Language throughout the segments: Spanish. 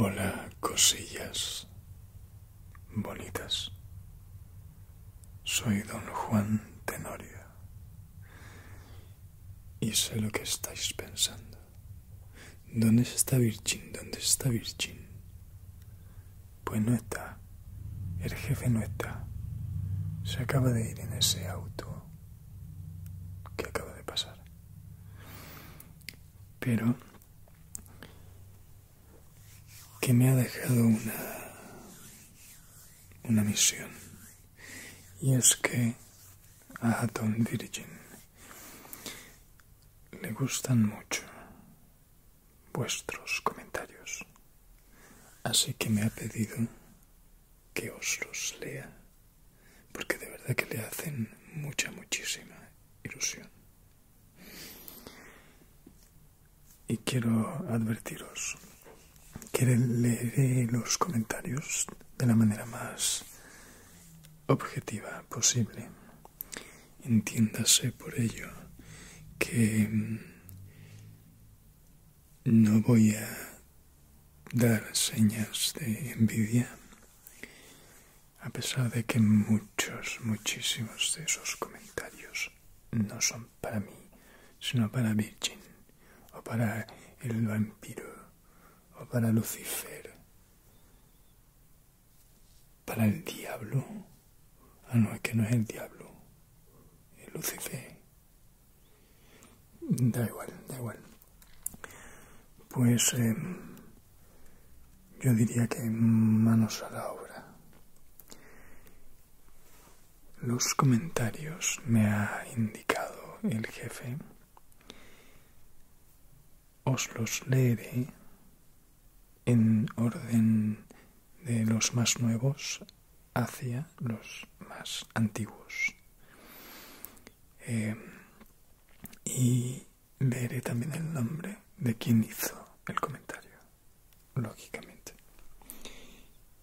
Hola, cosillas bonitas. Soy don Juan Tenorio y sé lo que estáis pensando. ¿Dónde está Virgin? ¿Dónde está Virgin? Pues no está. El jefe no está. Se acaba de ir en ese auto que acaba de pasar. Pero que me ha dejado una una misión. Y es que a Don Virgin le gustan mucho vuestros comentarios. Así que me ha pedido que os los lea, porque de verdad que le hacen mucha, muchísima ilusión. Y quiero advertiros que leeré los comentarios de la manera más objetiva posible Entiéndase por ello que mm, no voy a dar señas de envidia, a pesar de que muchos, muchísimos de esos comentarios no son para mí, sino para Virgin, o para el vampiro, o para Lucifer, para el diablo Ah, no, es que no es el diablo. el Lucifer. Da igual, da igual. Pues eh, yo diría que manos a la obra. Los comentarios me ha indicado el jefe. Os los leeré en orden de los más nuevos hacia los más antiguos. Eh, y leeré también el nombre de quien hizo el comentario, lógicamente,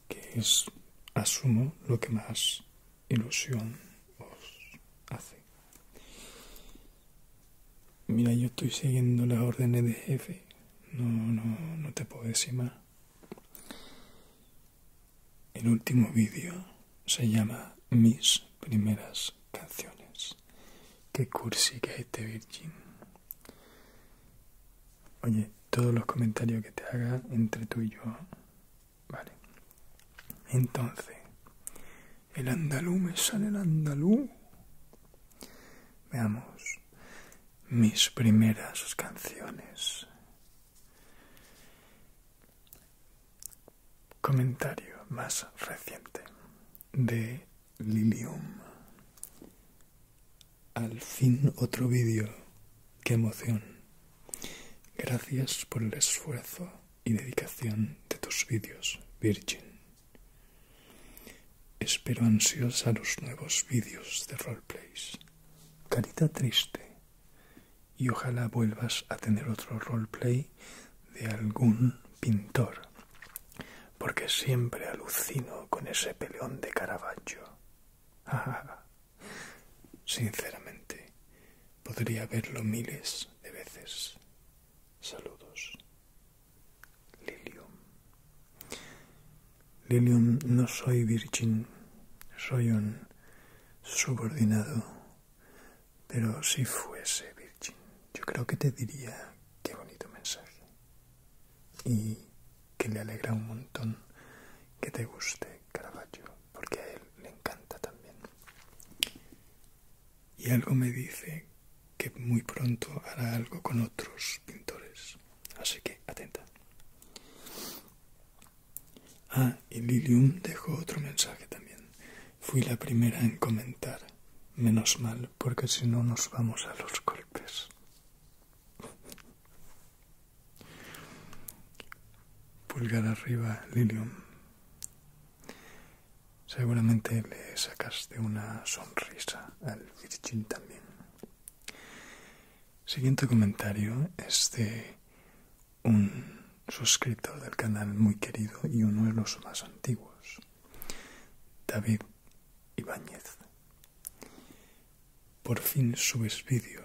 que es, asumo, lo que más ilusión os hace. Mira, yo estoy siguiendo las órdenes de jefe. No, no, no te puedo decir más. El último vídeo se llama Mis primeras canciones. Qué cursi que este Virgin. Oye, todos los comentarios que te haga entre tú y yo. Vale. Entonces, el andalú me sale el andalú. Veamos mis primeras canciones. Comentario más reciente de Lilium. Al fin otro vídeo. ¡Qué emoción! Gracias por el esfuerzo y dedicación de tus vídeos, Virgin. Espero ansiosa los nuevos vídeos de roleplays. Carita triste. Y ojalá vuelvas a tener otro roleplay de algún pintor. Porque siempre alucino con ese peleón de Caravaggio. Sinceramente, podría verlo miles de veces. Saludos. Lilium. Lilium, no soy virgin soy un subordinado, pero si fuese virgin, yo creo que te diría qué bonito mensaje y que le alegra un montón que te guste Caravaggio, porque a él le encanta también. Y algo me dice que muy pronto hará algo con otros pintores. Así que atenta. Ah, y Lilium dejó otro mensaje también. Fui la primera en comentar. Menos mal, porque si no nos vamos a los golpes. Pulgar arriba, Lilium. Seguramente le sacaste una sonrisa al Virgin también. Siguiente comentario es de un suscriptor del canal muy querido y uno de los más antiguos, David Ibáñez. Por fin subes vídeo,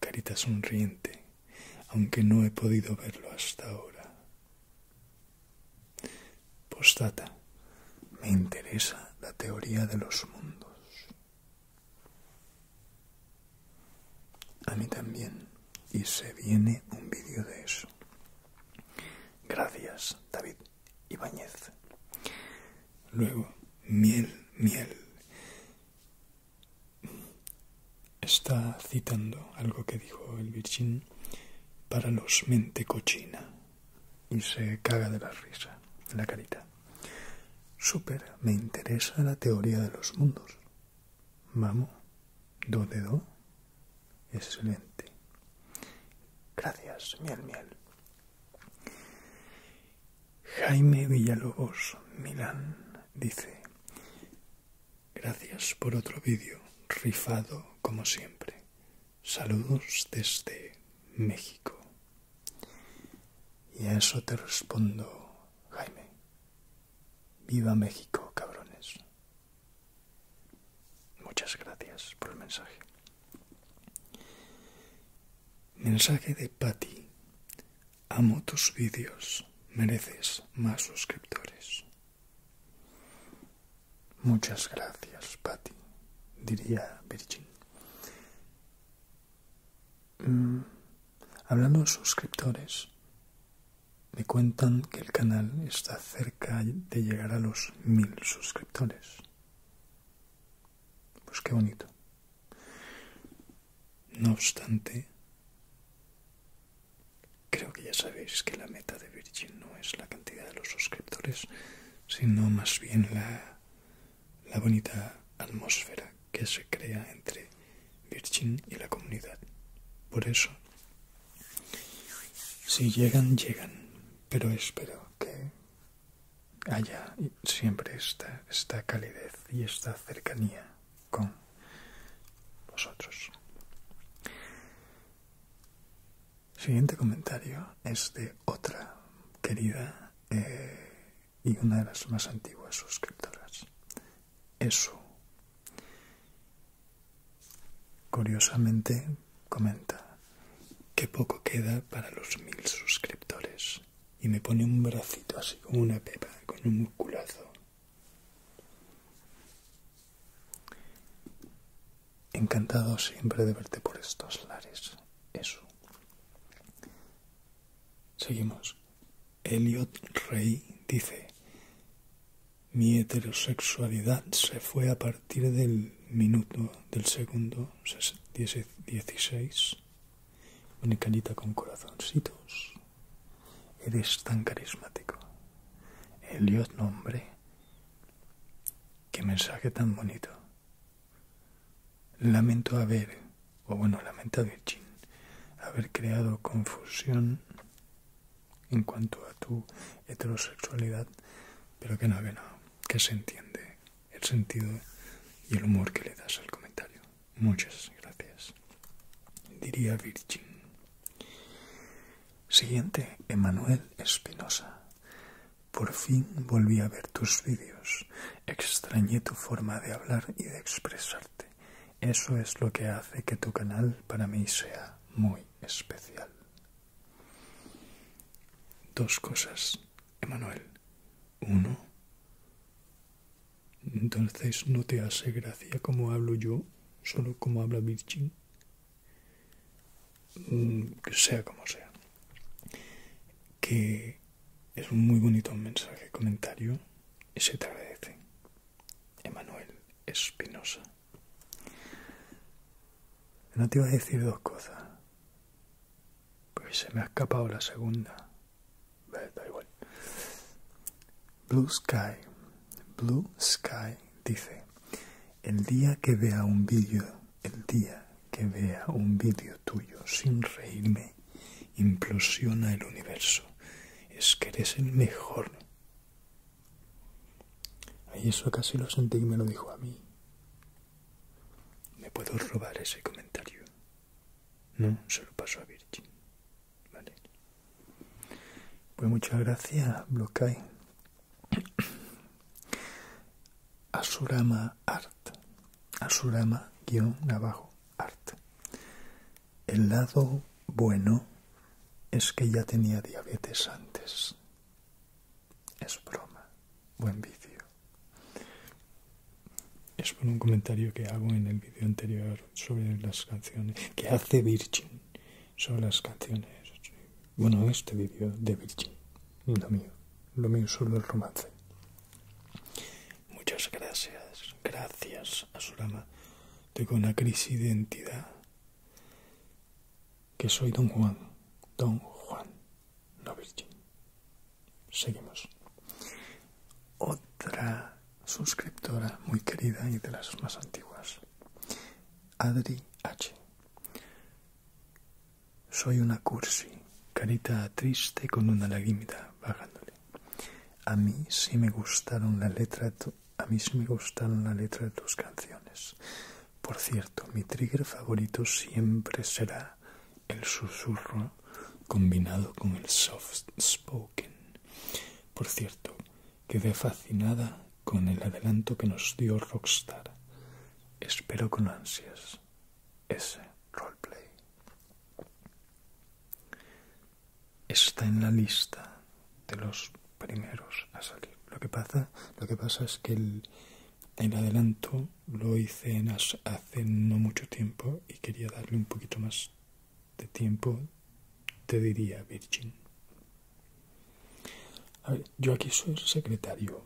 carita sonriente, aunque no he podido verlo hasta ahora. Postata, Me interesa la teoría de los mundos. A mí también. Y se viene un vídeo de eso. Gracias, David Ibáñez. Luego, miel, miel. Está citando algo que dijo el Virgin para los mente cochina y se caga de la risa, la carita. Súper, me interesa la teoría de los mundos. Vamos, do de do. Excelente. Gracias, miel, miel. Jaime Villalobos, Milán, dice, gracias por otro vídeo, rifado como siempre. Saludos desde México. Y a eso te respondo, Jaime. Viva México, cabrones. Muchas gracias por el mensaje. Mensaje de Patti. Amo tus vídeos. Mereces más suscriptores. Muchas gracias, Patti, diría Virgin. Mm, hablando de suscriptores, me cuentan que el canal está cerca de llegar a los mil suscriptores. Pues qué bonito. No obstante, creo que ya sabéis que la meta de Virgin no es la cantidad de los suscriptores, sino más bien la, la bonita atmósfera que se crea entre Virgin y la comunidad. Por eso, si llegan, llegan, pero espero que haya siempre esta, esta calidez y esta cercanía con vosotros. Siguiente comentario es de otra querida eh, y una de las más antiguas suscriptoras. Eso. Curiosamente comenta que poco queda para los mil suscriptores y me pone un bracito así como una pepa con un musculazo. Encantado siempre de verte por estos lares. Eso. Seguimos. Elliot Rey dice, mi heterosexualidad se fue a partir del minuto del segundo 16. Una carita con corazoncitos. Eres tan carismático. Elliot, nombre. Qué mensaje tan bonito. Lamento haber, o bueno, a Virgin, haber creado confusión en cuanto a tu heterosexualidad, pero que no, que no, que se entiende el sentido y el humor que le das al comentario. Muchas gracias. Diría Virgin. Siguiente, Emanuel Espinosa. Por fin volví a ver tus vídeos. Extrañé tu forma de hablar y de expresarte. Eso es lo que hace que tu canal para mí sea muy especial. Dos cosas, Emanuel. Uno, entonces no te hace gracia como hablo yo, solo como habla Virgin. Mm, que sea como sea, que es un muy bonito mensaje, comentario, y se te agradece. Emanuel Espinosa. No te iba a decir dos cosas, pues se me ha escapado la segunda. Da igual. Blue Sky, Blue Sky dice, el día que vea un vídeo, el día que vea un vídeo tuyo sin reírme, implosiona el universo. Es que eres el mejor. Ahí eso casi lo sentí y me lo dijo a mí. Me puedo robar ese comentario. No, se lo paso a Virgin. Vale. Pues muchas gracias, Blockay. Asurama Art. Asurama guión abajo Art. El lado bueno es que ya tenía diabetes antes. Es broma. Buen vicio Es por un comentario que hago en el vídeo anterior sobre las canciones. Que hace Virgin sobre las canciones bueno, este vídeo de Virgin, no mío. Lo mío solo el romance. Muchas gracias, gracias a Surama. Tengo una crisis de identidad. Que soy Don Juan, Don Juan, no Virgin. Seguimos. Otra suscriptora muy querida y de las más antiguas. Adri H. Soy una cursi, carita triste con una lagrimita bajándole. A mí sí me gustaron la letra a mí sí me gustaron la letra de tus canciones. Por cierto, mi trigger favorito siempre será el susurro combinado con el soft spoken. Por cierto, quedé fascinada con el adelanto que nos dio Rockstar. Espero con ansias ese roleplay. Está en la lista de los primeros a salir. Lo que pasa, lo que pasa es que el, adelanto lo hice hace no mucho tiempo y quería darle un poquito más de tiempo. Te diría, Virgin. Yo aquí soy secretario.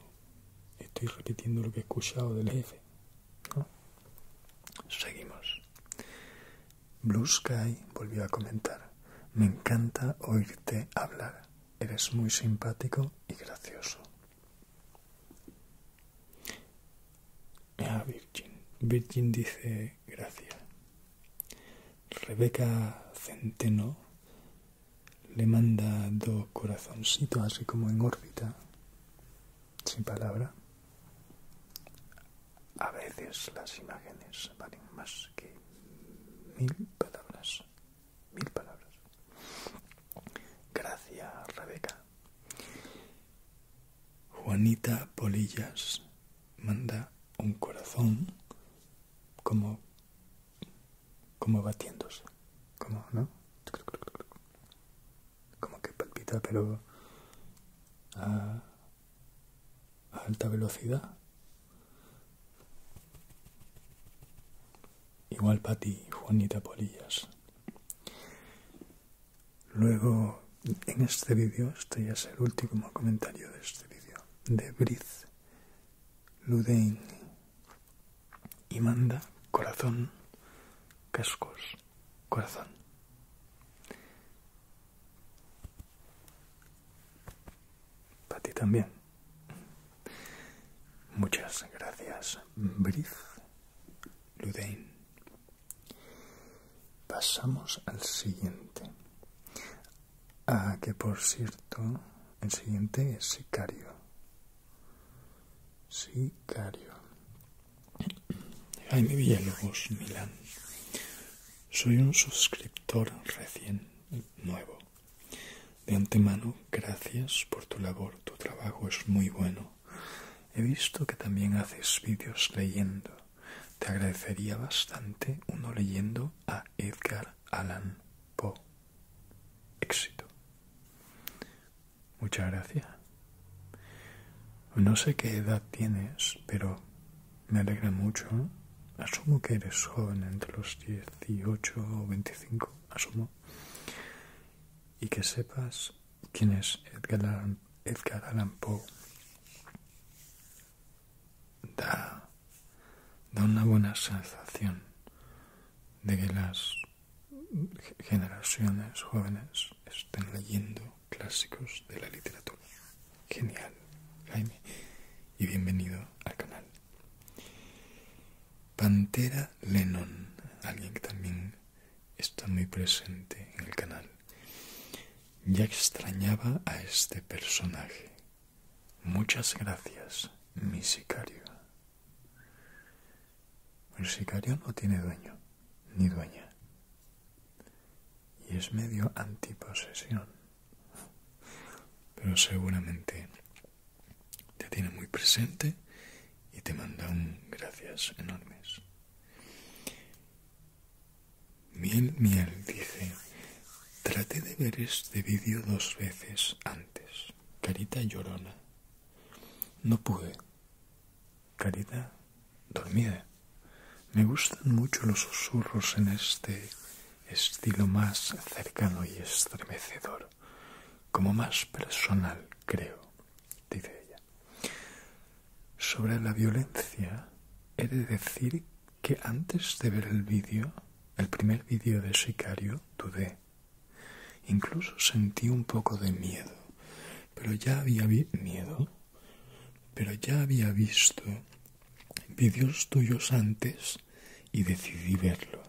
Estoy repitiendo lo que he escuchado del jefe. Seguimos. Blue Sky volvió a comentar. Me encanta oírte hablar. Eres muy simpático y gracioso. Ah, Virgin. Virgin dice gracias. Rebeca Centeno le manda dos corazoncitos así como en órbita, sin palabra. A veces las imágenes valen más que mil palabras. Mil palabras. Gracias, Rebeca. Juanita Polillas manda un corazón como, como batiéndose, como, ¿no? Como que palpita, pero a, alta velocidad. Igual para ti, Juanita Polillas. Luego, en este vídeo, este ya es el último comentario de este vídeo, de Briz Ludein y manda corazón, cascos, corazón. Para ti también. Muchas gracias, Brief Ludain. Pasamos al siguiente. Ah, que por cierto, el siguiente es Sicario. Sí, mi Jaime Villalobos, Milán. Soy un suscriptor recién nuevo. De antemano, gracias por tu labor. Tu trabajo es muy bueno. He visto que también haces vídeos leyendo. Te agradecería bastante uno leyendo a Edgar Allan Poe éxito. Muchas gracias. No sé qué edad tienes, pero me alegra mucho. Asumo que eres joven entre los 18 o 25, asumo. Y que sepas quién es Edgar Allan, Poe. Da, da una buena sensación de que las generaciones jóvenes estén leyendo clásicos de la literatura. Genial, Jaime, y bienvenido al canal. Pantera Lennon, alguien que también está muy presente en el canal. Ya extrañaba a este personaje, Muchas gracias, mi sicario. El sicario no tiene dueño, ni dueña. Y es medio antiposesión. Pero seguramente te tiene muy presente y te manda un gracias enormes. Miel Miel dice, trate de ver este vídeo dos veces antes carita llorona. No pude, carita dormida. Me gustan mucho los susurros en este estilo más cercano y estremecedor, como más personal, creo, dice ella. Sobre la violencia, he de decir que antes de ver el vídeo, el primer vídeo de Sicario, dudé. Incluso sentí un poco de miedo, pero ya había miedo, pero ya había visto vídeos tuyos antes y decidí verlo.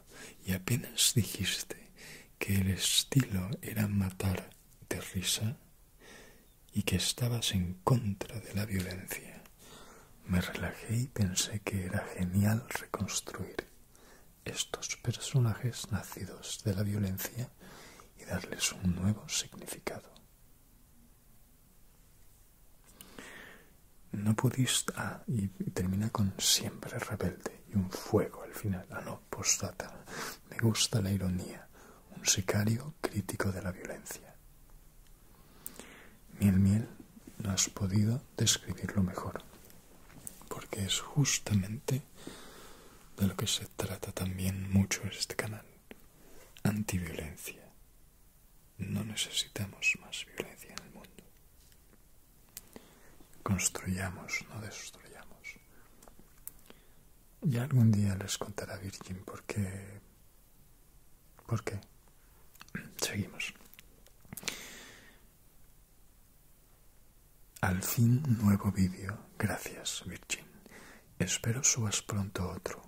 Y apenas dijiste que el estilo era matar de risa y que estabas en contra de la violencia. Me relajé y pensé que era genial reconstruir estos personajes nacidos de la violencia y darles un nuevo significado. No pudiste... Ah, y termina con siempre rebelde y un fuego al final. Ah, no, postata. Me gusta la ironía. Un sicario crítico de la violencia. Miel Miel, no has podido describirlo mejor porque es justamente de lo que se trata también mucho este canal. Antiviolencia. No necesitamos más violencia en el mundo. Construyamos, no destruyamos. Y algún día les contará Virgin por qué... ¿Por qué? Seguimos. Al fin nuevo vídeo. Gracias, Virgin. Espero subas pronto otro.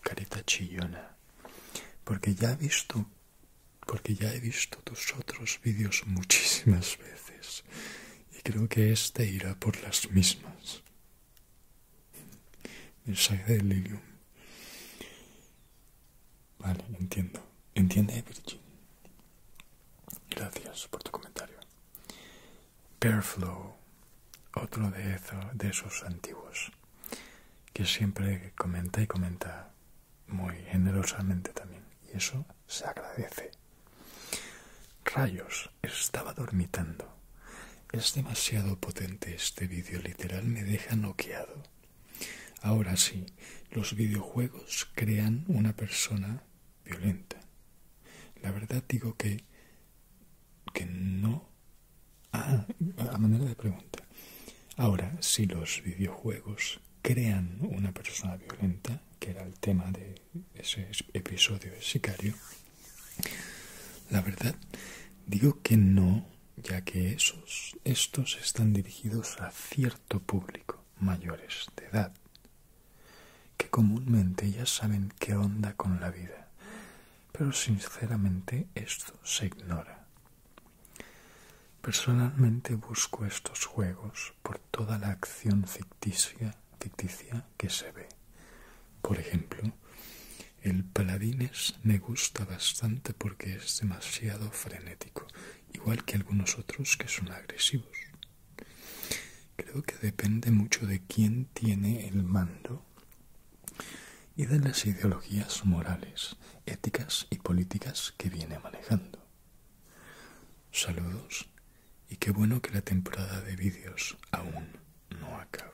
Carita chillona. Porque ya he visto, porque ya he visto tus otros vídeos muchísimas veces. Y creo que este irá por las mismas. Mensaje de Lilium. Vale, entiendo. ¿Entiende, Virgin? Gracias por tu comentario. Pearflow, otro de, de esos antiguos, que siempre comenta y comenta muy generosamente también. Y eso se agradece. Rayos, estaba dormitando. Es demasiado potente este vídeo, literal me deja noqueado. Ahora sí, los videojuegos crean una persona violenta. La verdad digo que, que no... Ah, a manera de pregunta. Ahora, si los videojuegos crean una persona violenta, que era el tema de ese episodio de Sicario, la verdad digo que no, ya que estos están dirigidos a ciertos público mayores de edad, que comúnmente ya saben qué onda con la vida, pero sinceramente esto se ignora. Personalmente busco estos juegos por toda la acción ficticia, ficticia que se ve. Por ejemplo, el paladines me gusta bastante porque es demasiado frenético igual que algunos otros que son agresivos. Creo que depende mucho de quién tiene el mando y de las ideologías morales, éticas y políticas que viene manejando. Saludos y qué bueno que la temporada de vídeos aún no acaba.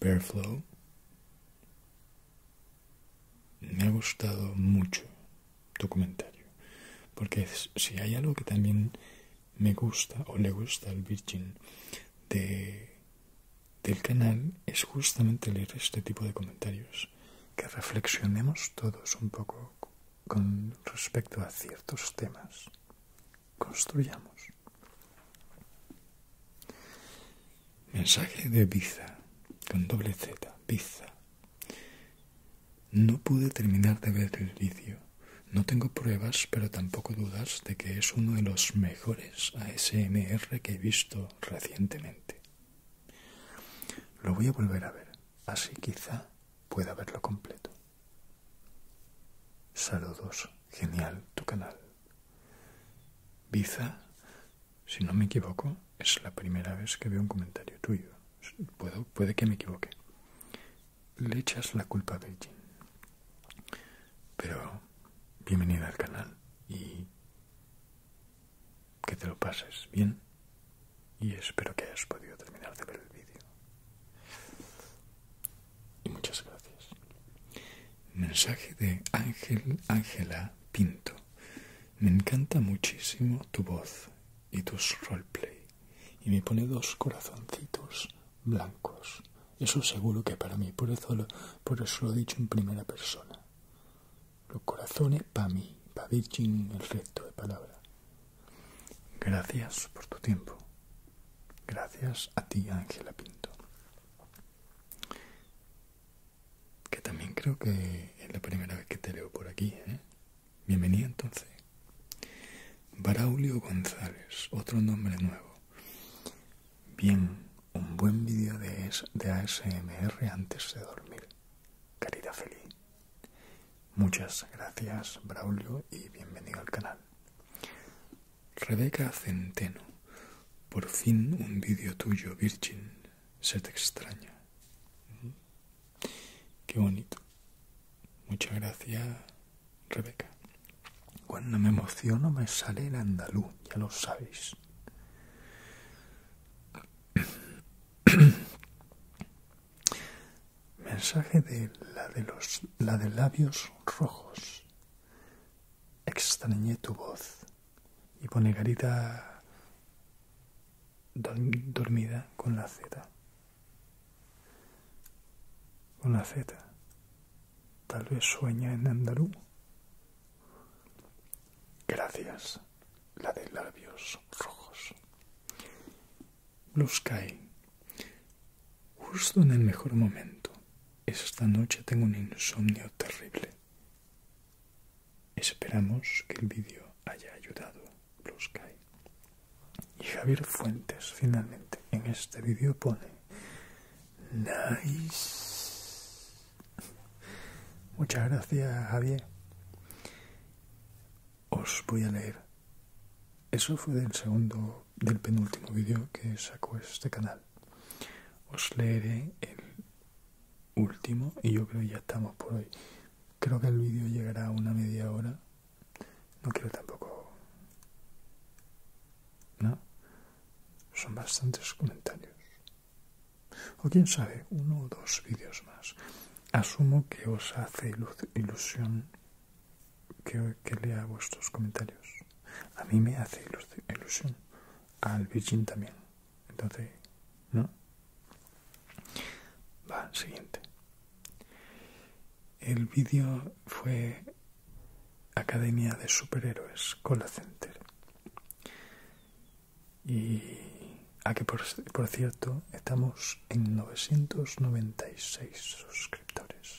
Bearflow me ha gustado mucho tu comentario, porque si hay algo que también me gusta o le gusta al Virgin del canal es justamente leer este tipo de comentarios, que reflexionemos todos un poco con respecto a ciertos temas. Construyamos. Mensaje de Biza, con doble Z, Biza. No pude terminar de ver el vídeo. No tengo pruebas, pero tampoco dudas de que es uno de los mejores ASMR que he visto recientemente. Lo voy a volver a ver, así quizá pueda verlo completo. Saludos, genial tu canal. Biza si no me equivoco, es la primera vez que veo un comentario tuyo. puede que me equivoque. Le echas la culpa a Beijing. Pero bienvenida al canal y que te lo pases bien y espero que hayas podido terminar de ver el vídeo. Y muchas gracias. Mensaje de Ángel Ángela Pinto. Me encanta muchísimo tu voz y tus roleplay. Y me pone dos corazoncitos blancos. Eso seguro que para mí, por eso lo, eso lo he dicho en primera persona. Los corazones para mí, para Virgin el resto de palabra. Gracias por tu tiempo. Gracias a ti, Ángela Pinto. Que también creo que es la primera vez que te leo por aquí, ¿eh? entonces. Braulio González, otro nombre nuevo. Bien, un buen vídeo de, ASMR antes de dormir. querida feliz. Muchas gracias, Braulio, y bienvenido al canal. Rebeca Centeno, por fin un vídeo tuyo, Virgin se te extraña. Qué bonito. Muchas gracias, Rebeca. Cuando me emociono me sale el andaluz, ya lo sabéis. Mensaje de la de los la de labios rojos. Extrañé tu voz y pone Garita dormida con la Z. Con la Z. Tal vez sueña en Andalú. Gracias, la de labios rojos. Blue Sky. Justo en el mejor momento. Esta noche tengo un insomnio terrible. Esperamos que el vídeo haya ayudado, Blue Y Javier Fuentes finalmente en este vídeo pone Nice. Muchas gracias, Javier. Os voy a leer. Eso fue del segundo, del penúltimo vídeo que sacó este canal. Os leeré el último y yo creo que ya estamos por hoy. Creo que el vídeo llegará a una media hora. No quiero tampoco... ¿No? Son bastantes comentarios. O quién sabe, uno o dos vídeos más. Asumo que os hace ilusión que, que lea vuestros comentarios. A mí me hace ilusión. Al Virgin también. Entonces, ¿no? Va, siguiente. El vídeo fue Academia de Superhéroes, Cola Center. Y aquí, ah, por, por cierto, estamos en 996 suscriptores.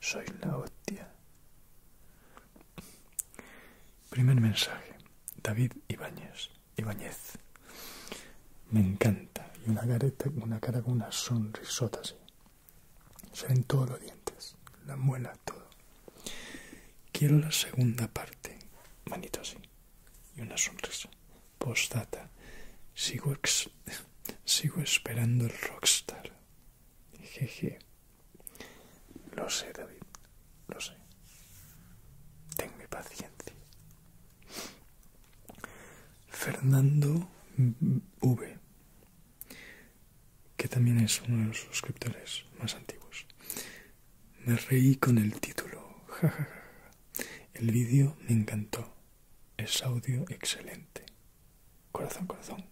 Soy la hostia. Primer mensaje, David Ibáñez. Ibáñez. Me encanta. Y una, careta, una cara con una sonrisota así. Se ven todos los dientes, la muela, todo. Quiero la segunda parte, manito así. Y una sonrisa. Postdata. Sigo, sigo esperando el rockstar. Jeje. Lo sé, David, lo sé. Ten paciencia. Fernando V, que también es uno de los suscriptores más antiguos. Me reí con el título, El vídeo me encantó. Es audio excelente. Corazón, corazón.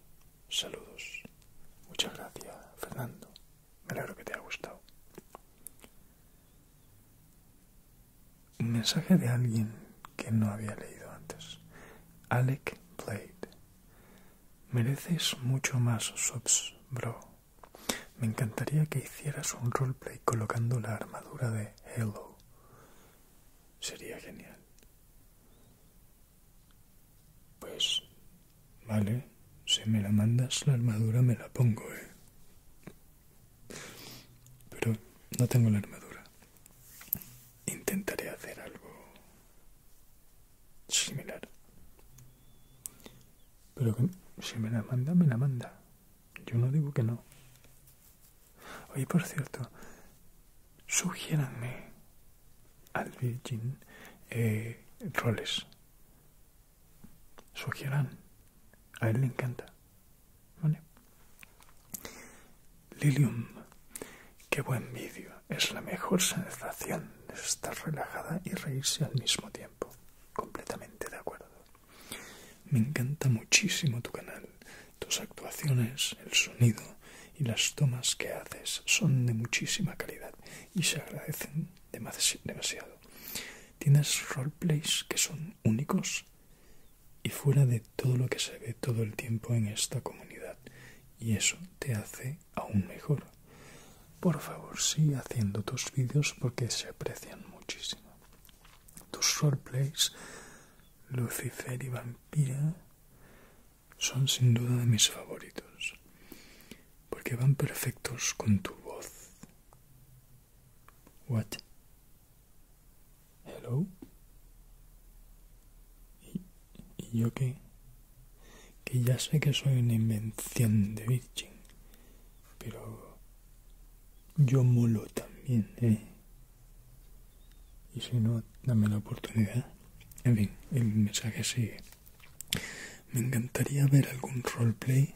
Saludos. Muchas gracias, Fernando. Me alegro que te haya gustado. mensaje de alguien que no había leído antes. Alec Blade. Mereces mucho más, subs, bro. Me encantaría que hicieras un roleplay colocando la armadura de Hello Sería genial. Pues Vale, si me la mandas la armadura me la pongo, ¿eh? Pero no tengo la armadura. Intentaré hacer algo similar. Pero si me la manda, me la manda. Yo no digo que no. Oye, por cierto, sugiéranme al Virgin eh, roles Sugieran. A él le encanta. Lilium. Qué buen vídeo. Es la mejor sensación de estar relajada y reírse al mismo tiempo. Completamente de acuerdo. Me encanta muchísimo tu canal. Tus actuaciones, el sonido y las tomas que haces son de muchísima calidad y se agradecen demasiado. Tienes roleplays que son únicos y fuera de todo lo que se ve todo el tiempo en esta comunidad. Y eso te hace aún mejor. Por favor, sigue haciendo tus vídeos porque se aprecian muchísimo. Tus roleplays, Lucifer y Vampira, son sin duda de mis favoritos porque van perfectos con tu voz. What? Hello? ¿Y, yo qué? Que ya sé que soy una invención de Virgin, pero yo molo también, ¿eh? Y si no, dame la oportunidad. En fin, el mensaje sigue. Me encantaría ver algún roleplay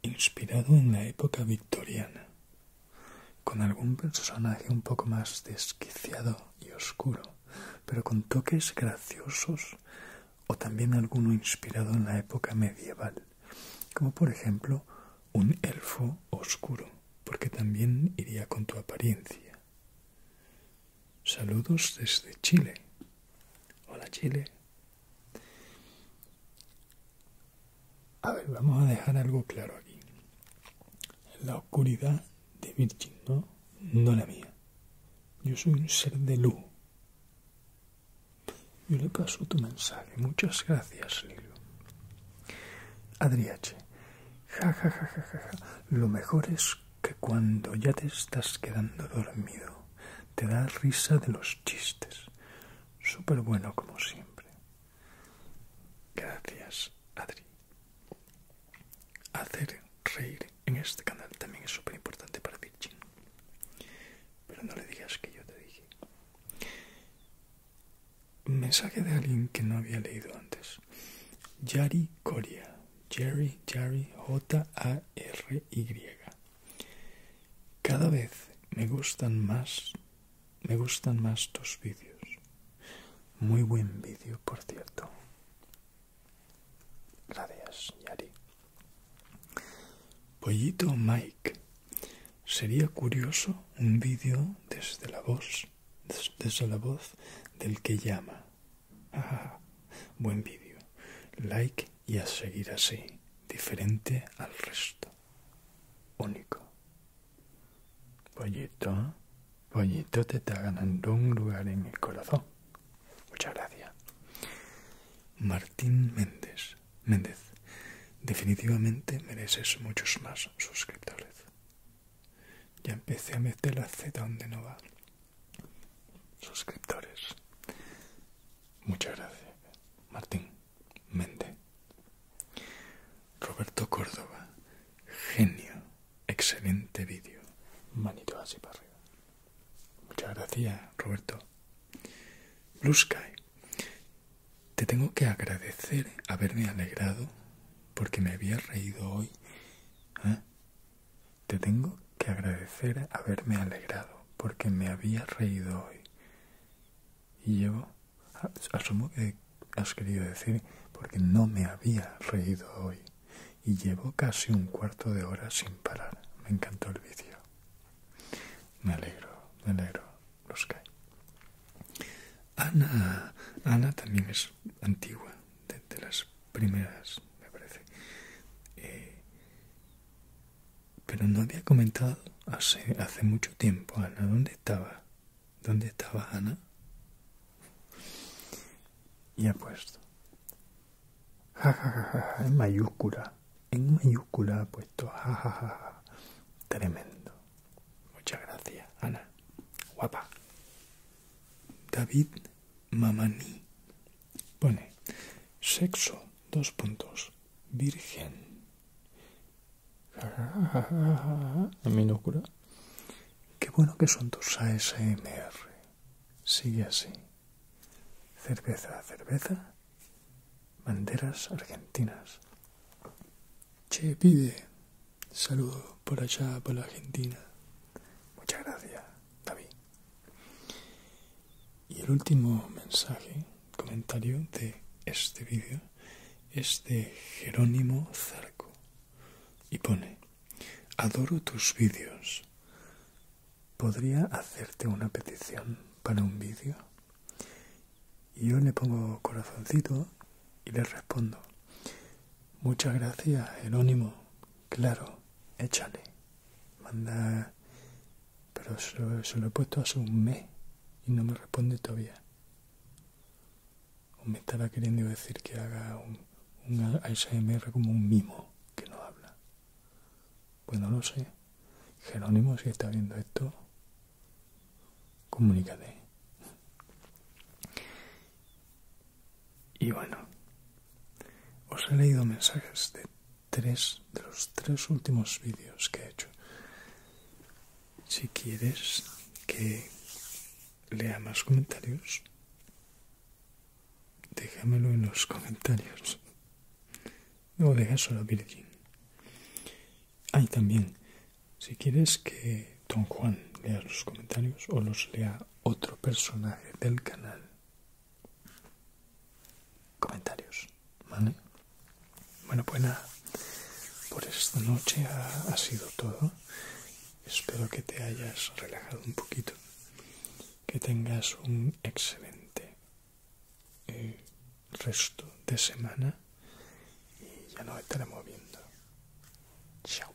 inspirado en la época victoriana, con algún personaje un poco más desquiciado y oscuro, pero con toques graciosos o también alguno inspirado en la época medieval, como por ejemplo un elfo oscuro, porque también iría con tu apariencia. Saludos desde Chile. Hola Chile. A ver, vamos a dejar algo claro aquí. La oscuridad de Virgin, ¿no? No la mía. Yo soy un ser de luz. Yo le paso tu mensaje. Muchas gracias, Lilo. Adriache. Ja, Lo mejor es que cuando ya te estás quedando dormido te da risa de los chistes. Súper bueno como siempre. Gracias, Adri. Hacer reír en este canal también es súper importante para Virgin. Pero no le digas que yo te dije. mensaje de alguien que no había leído antes. Yari Coria. Jerry, Jerry, J-A-R-Y. Cada vez me gustan más, me gustan más tus vídeos. Muy buen vídeo, por cierto. Gracias, Yari. Pollito Mike. Sería curioso un vídeo desde la voz, desde la voz del que llama. Ah, buen vídeo. Like y a seguir así. Diferente al resto. Único. Pollito. Pollito te está ganando un lugar en el corazón. Muchas gracias. Martín Méndez. Méndez. Definitivamente mereces muchos más suscriptores. Ya empecé a meter la Z donde no va suscriptores. Muchas gracias. Martín Mende. Roberto Córdoba. Genio. Excelente vídeo. Manito así para arriba. Muchas gracias, Roberto. Blue Sky. Te tengo que agradecer haberme alegrado porque me había reído hoy. ¿eh? Te tengo que agradecer haberme alegrado porque me había reído hoy. Y llevo, asumo que has querido decir, porque no me había reído hoy. Y llevo casi un cuarto de hora sin parar. Me encantó el vídeo. Me alegro, me alegro, los que Ana, Ana también es antigua, de las primeras, me parece. Eh, pero no había comentado hace, hace mucho tiempo, Ana, ¿dónde estaba? ¿Dónde estaba Ana? Y ha puesto. en mayúscula. En mayúscula ha puesto. jajaja Tremendo. Muchas gracias, Ana. Guapa. David Mamani. Pone sexo, dos puntos, virgen. A mi locura. Qué bueno que son tus ASMR. Sigue así. Cerveza, cerveza. Banderas argentinas. Che, pide. Saludo por allá, por la Argentina. Muchas gracias, David. Y el último mensaje, comentario de este vídeo es de Jerónimo Zarco y pone, adoro tus vídeos. ¿Podría hacerte una petición para un vídeo? Y yo le pongo corazoncito y le respondo, muchas gracias Jerónimo, claro, échale. Manda... Pero se lo, he puesto hace un mes y no me responde todavía. O me estaba queriendo decir que haga un, un como un mimo que no habla. Pues no lo sé. Jerónimo, si está viendo esto, comunícate. Y bueno, os he leído mensajes de tres de los tres últimos vídeos que he hecho. Si quieres que lea más comentarios, déjamelo en los comentarios. No dejas solo a Virgin. ahí también, si quieres que Don Juan lea los comentarios o los lea otro personaje del canal, comentarios. ¿Vale? Bueno, pues nada. Por esta noche ha, sido todo. Espero que te hayas relajado un poquito. Que tengas un excelente eh, resto de semana. Y ya nos estaremos viendo. Chao.